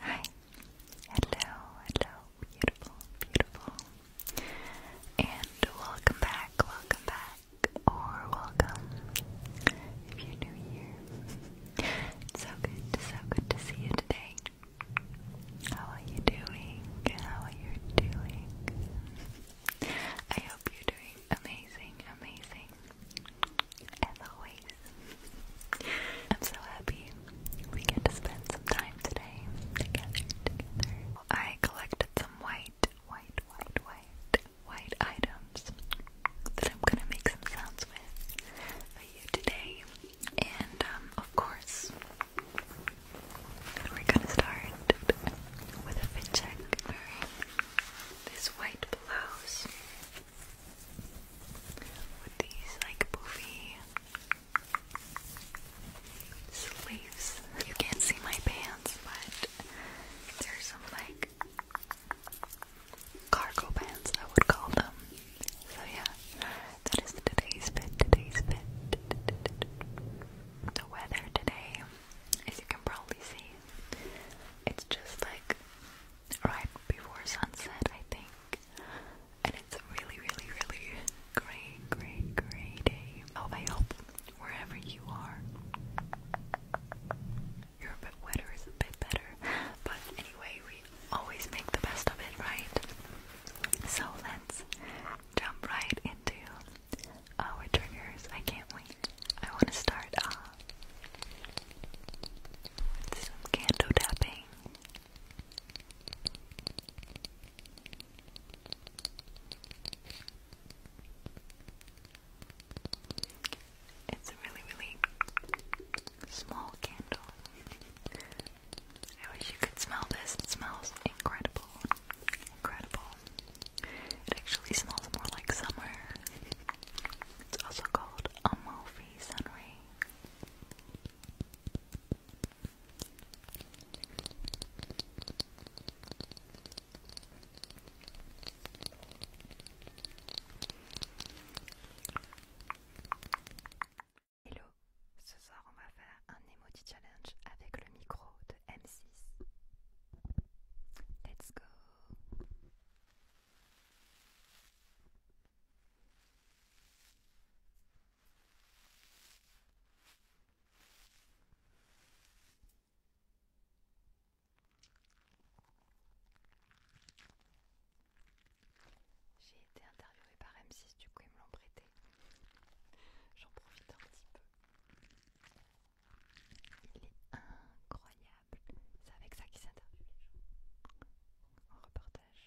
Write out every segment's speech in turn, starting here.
Hi. Hello, hello, beautiful, beautiful. And welcome back, welcome back, or welcome if you're new here. It's so good, so good to see you today. How are you doing? How are you doing? I hope you're doing amazing, amazing. As always, I'm so happy we get to spend some time today together. Together, I collected some white, white, white, white, white items that I'm gonna make some sounds with for you today, and um, of course, we're gonna start with a fit check. This white blouse with these like poofy sleeves. You can't see my pants, but there's some like cargo pants, I would call them. So yeah, that is today's fit. Today's fit. The weather today, as you can probably see, it's just like right before sunset, I think and it's a really, really, really great, great, great day. Oh, I hope wherever you are, your bit weather is a bit better. But anyway, we always make the best of it, right? So let's jump right into our triggers. I can't wait. I want to start off uh, with some candle tapping. It's a really, really small candle. I wish you could smell this. It smells incredible. Incredible. It actually smells more like summer. It's also called Amalfi Sunray. Hello, ce soir on va faire un emoji challenge avec le micro de M6. Let's go. J'ai été interviewée par M6, du coup ils me l'ont prêté. J'en profite un petit peu. Il est incroyable. C'est avec ça qu'il s'interviewe les En reportage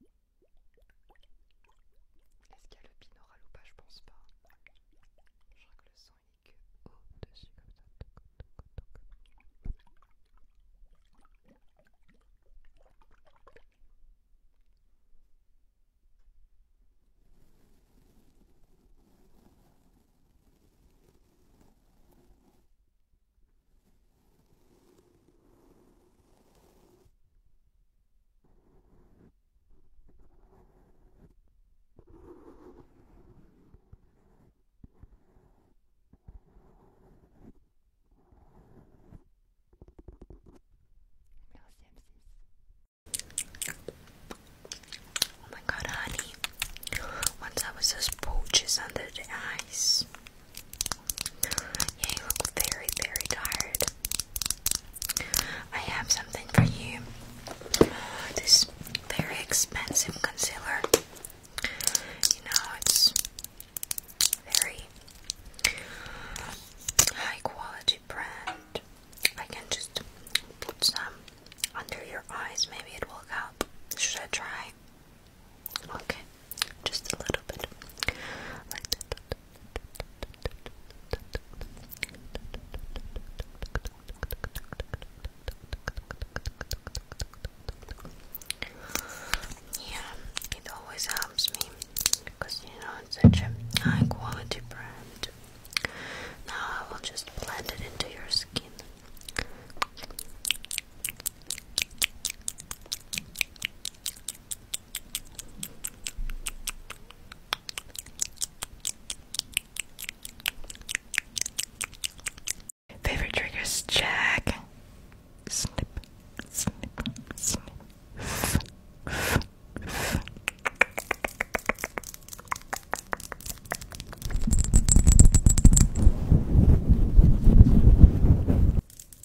Est-ce qu'il y a le pinoral ou pas Je pense pas. Je crois que le son il est que au-dessus comme ça. Oh my god honey. Once I was just poaches under the ice you look very, very tired. I have something for you. This very expensive concealer. You know, it's very high quality brand. I can just put some under your eyes, maybe it will help. Should I try? Okay. Just a little bit. Like that. Yeah, it always helps me because you know it's such a high quality brand. Now I will just blend it into your skin. Favorite triggers Jack, Snip, snip, snip. F,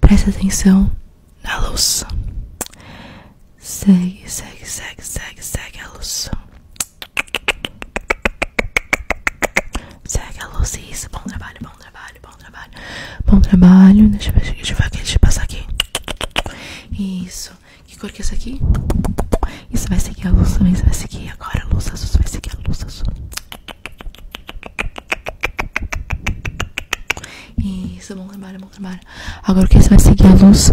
Preste atenção na luz. Segue, segue, segue, segue, segue a luz. Segue a luz é isso. Bom trabalho, bom trabalho, bom trabalho. Bom trabalho. Deixa eu, ver, deixa deixa eu passar aqui. Isso. Que cor que é essa aqui? Isso vai seguir a luz também. isso vai seguir agora a luz azul. vai seguir a luz Isso, bom trabalho, bom trabalho. Agora o que você é vai seguir a luz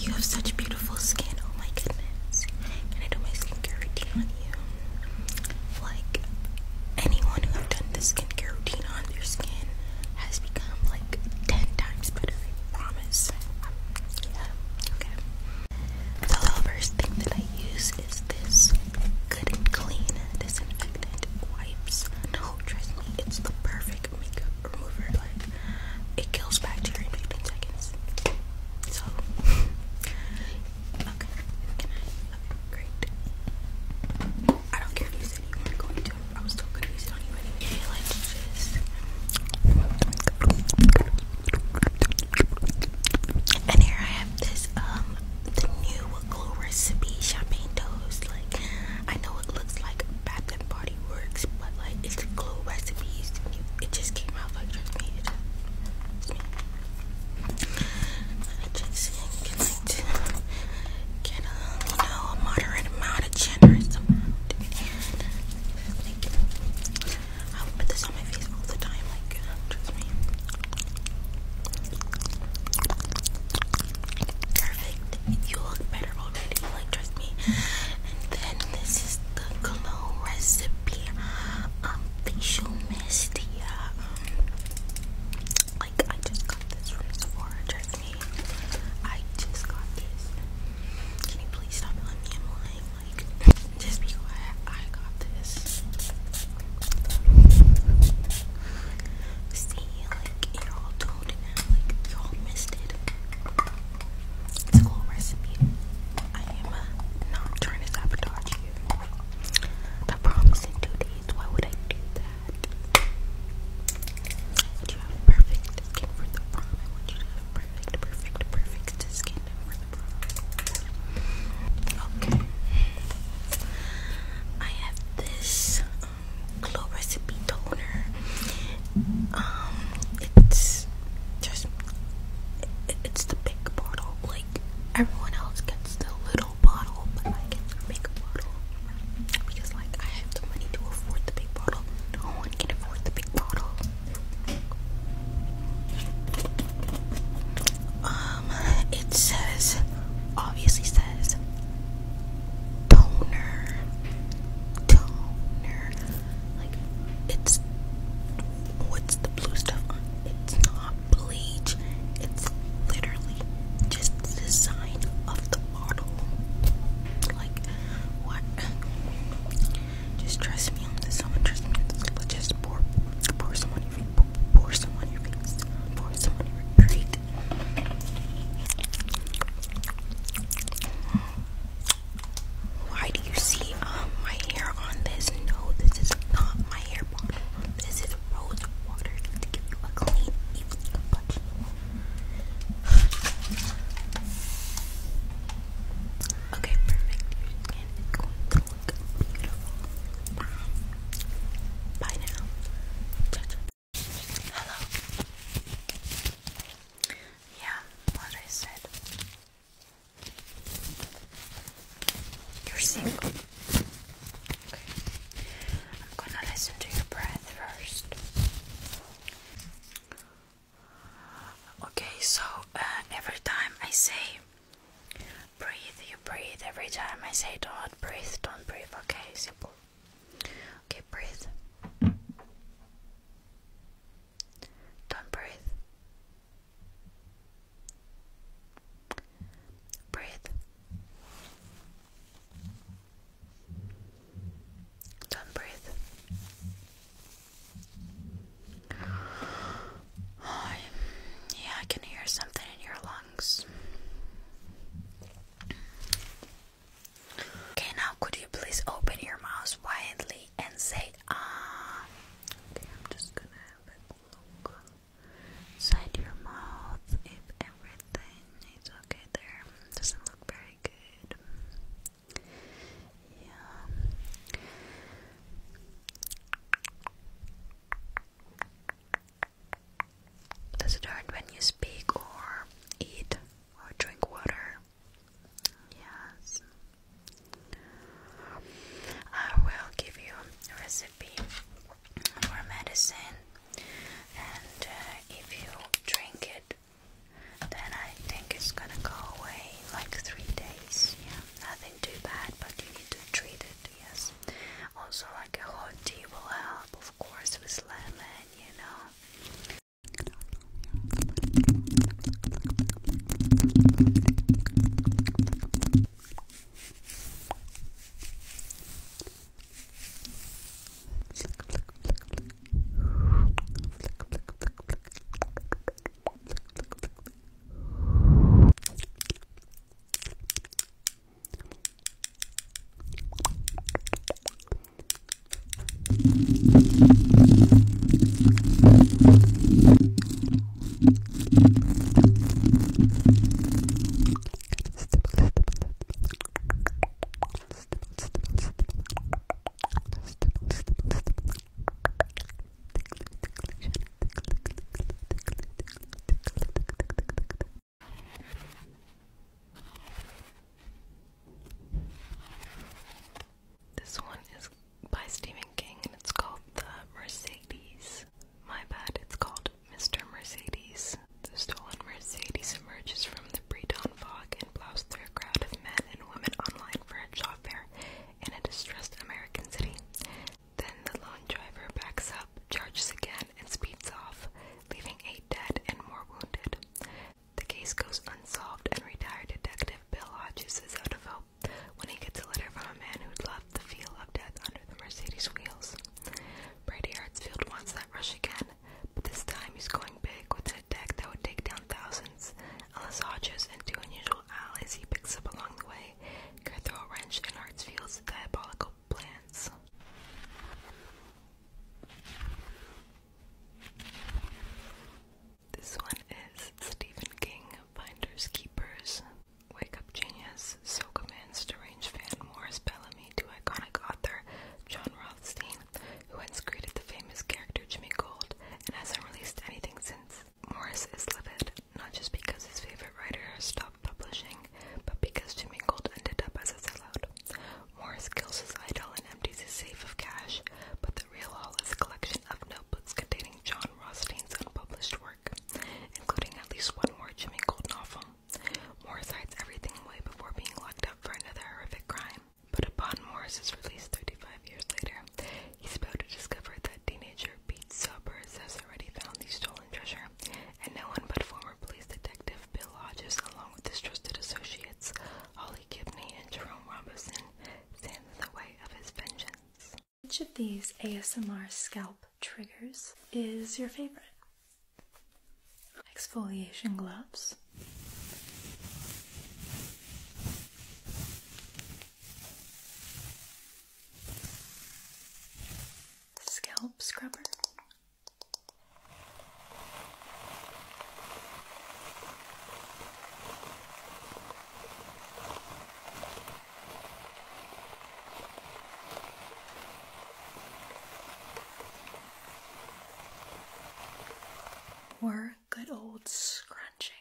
You have such beautiful skin, oh my goodness. Can I do my skincare routine on you? Like anyone who have done the skincare routine on their skin has become like 10 times better, I promise. okay. The first thing that I use is this Good and Clean Disinfectant Wipes. No, trust me, it's the perfect makeup remover. Like, it kills bacteria in seconds. So, okay. Can I? Okay, great. I don't care if you said you weren't going to. I'm still going And here I have this, um, the new Glow Recipe Champagne Toast. Like, I know it looks like Bath and Body Works, but like, it's the Recipes. It just came out, like, trust me. It I just can like, get a, um, you know, a moderate amount, a generous amount. I would put this on my face all the time, like trust me. Perfect. You look better already, like trust me. And then this is the glow recipe um, facial mist. Yeah, um, like I just got this from Sephora. I just got this. Can you please stop telling am lying? Like, just be quiet. I got this. See, like, it all told now. Like, y'all missed it. It's a cool recipe. I am uh, not trying to sabotage you. I promise in two days. Why would I do that? you have perfect skin for the prom. I want you to have perfect, perfect, perfect skin for the prom. Okay. I have this um, glow recipe toner. Um, it's just it's the big bottle. Like everyone else gets the little bottle, but I get the big bottle because like I have the money to afford the big bottle. Um, it says, obviously says, toner, toner. Like, it's what's the blue stuff It's not bleach. It's literally just the sign of the like, what? Just trust me on this. Someone trust me Let's just pour, pour some on your face. Pour, some on your face. Pour some on your face. Why do you see um, my hair on this? No, this is not my hair bottle. This is rose water to give you a clean, even complexion. Okay, perfect. Your skin is going beautiful. Bye now. Hello. Yeah, what I said. You're single. Okay. I'm gonna listen to your breath first. Okay, so uh, every time I say breathe, you breathe. Every time I say don't breathe, don't breathe. Okay, simple. Okay, breathe. Don't breathe. Breathe. Don't breathe. yeah, I can hear something in your lungs. Okay, now could you please open your mouth widely and say ah? Okay, I'm just gonna have a look inside your mouth if everything is okay there. Doesn't look very good. Does it hurt when you speak or eat or drink water? Yes. I will give you a recipe for medicine, and uh, if you drink it then I think it's gonna go away like three days. Yeah, nothing too bad, but you need to treat it. Yes. Also, like a hot tea will help, of course, with lemon. You know. Flick, flick, flick, flick. Flick, flick, flick, flick. Flick, flick, flick, flick. Stipple, stipple, stipple. This one is by Stephen King and it's called The Mercedes. My bad, it's called Mr. Mercedes. The stolen Mercedes emerges from the pre dawn fog and plows through a crowd of men men and women online for a job fair in a distressed American city. Then the lone driver backs up, charges again, and speeds off, leaving eight dead and more wounded. The case goes unsolved, and retired detective Bill Hodges is out of hope when he gets a letter from a man who'd left the feel of death under the Mercedes wheels. Brady Hartsfield wants that rush again, but this time he's going big with it attack that would take down thousands. Unless Hodges and two unusual allies he picks up along the way could throw a wrench in Hartsfield's diabolical plans. This one is Stephen King, Finders Keepers. Wake Up Genius Soka commands deranged fan Morris Bellamy to iconic author John Rothstein who once created the famous character Jimmy Gold and hasn't released anything since. Morris is livid, not just because his favorite writer stopped publishing, but because Jimmy Gold ended up as a sellout. Morris kills his idol and empties his safe of cash, but the real haul is a collection of notebooks containing John Rostein's unpublished work, including at least one more Jimmy Gold novel. Morris hides everything away before being locked up for another horrific crime. But upon Morris's release 35 years later, he's about to discover that teenager Pete Summers has already found the stolen treasure, and no one but former police detective Bill Hodges, along with his trusted associates Holly Gibney and Jerome Robinson, stands in the way of his vengeance. Which of these ASMR scalp triggers is your favorite? Exfoliation gloves, Scalp scrubber. Word good old scrunching.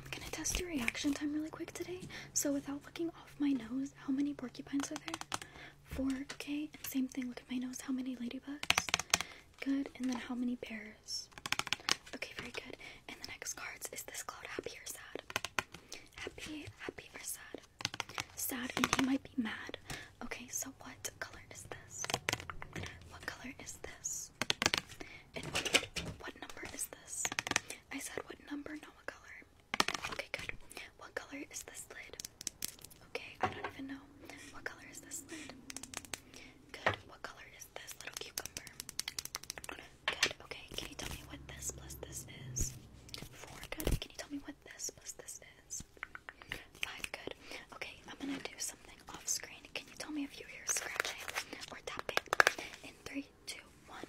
I'm gonna test your reaction time really quick today. So, without looking off my nose, how many porcupines are there? Four, okay? And same thing, look at my nose. How many ladybugs? Good. And then how many bears? Okay, very good. And the next cards is this cloud happy or sad? Happy, happy or sad? Sad, and he might be mad. Okay, so what color is this? What color is this? And what number is this? I said what number, not what color. Okay, good. What color is this lid? Okay, I don't even know. What color is this lid? Good. What color is this little cucumber? Good. Okay, can you tell me what this plus this is? Four. Good. Can you tell me what this plus this is? Five. Good. Okay, I'm gonna do something off screen. Can you tell me if you hear scratching or tapping? In three, two, one.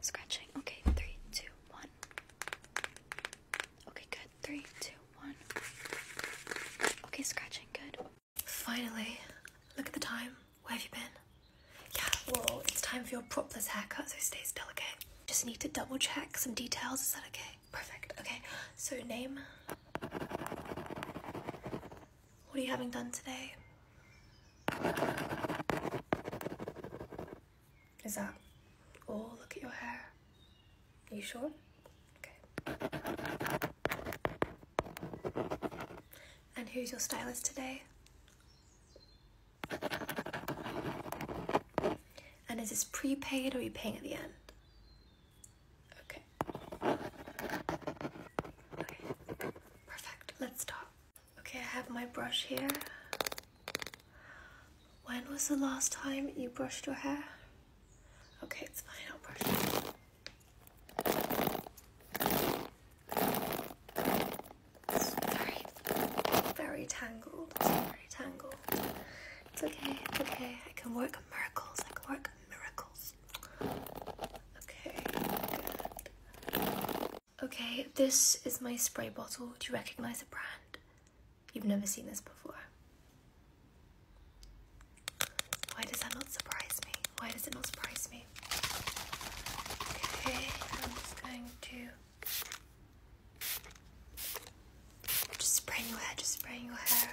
Scratching. Okay, three, two, one. Okay, good. Three, two, one. Okay, scratching, good. Finally. Look at the time. Where have you been? Yeah, well, it's time for your propless haircut, so it stays delicate. Just need to double check some details. Is that okay? Perfect. Okay, so name. What are you having done today? Is that Oh, Look at your hair. Are you sure? Okay. And who's your stylist today? And is this prepaid or are you paying at the end? Okay. Okay. Perfect. Let's stop. Okay, I have my brush here. When was the last time you brushed your hair? Okay, it's fine, I'll brush it. very, very tangled. It's very tangled. It's okay, it's okay. I can work miracles. I can work miracles. Okay, Okay, this is my spray bottle. Do you recognize the brand? You've never seen this before. Why does that not surprise me? Why does it not surprise me? Okay, I'm just going to just spraying your hair, just spraying your hair.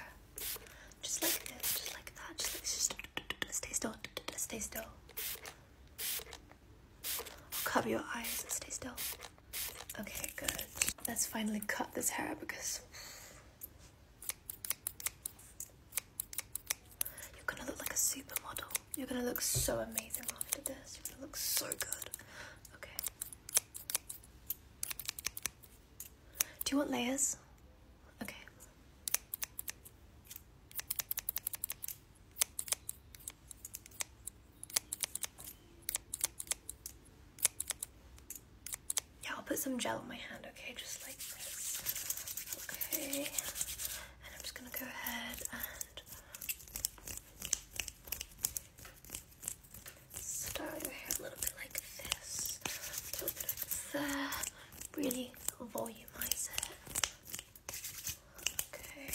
Just like this, just like that, just like just stay still, stay still. I'll cover your eyes and stay still. Okay, good. Let's finally cut this hair because you're gonna look like a supermodel. You're gonna look so amazing after this. You're gonna look so good. Okay. Do you want layers? Okay. Yeah, I'll put some gel on my hand, okay? Just like this. Okay. And I'm just gonna go ahead and style your hair a little bit like this. A little bit over there. Really volumize it. Okay.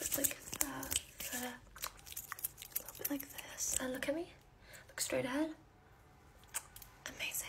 Look like that. a little bit like this. And uh, look at me. Look straight ahead. Amazing.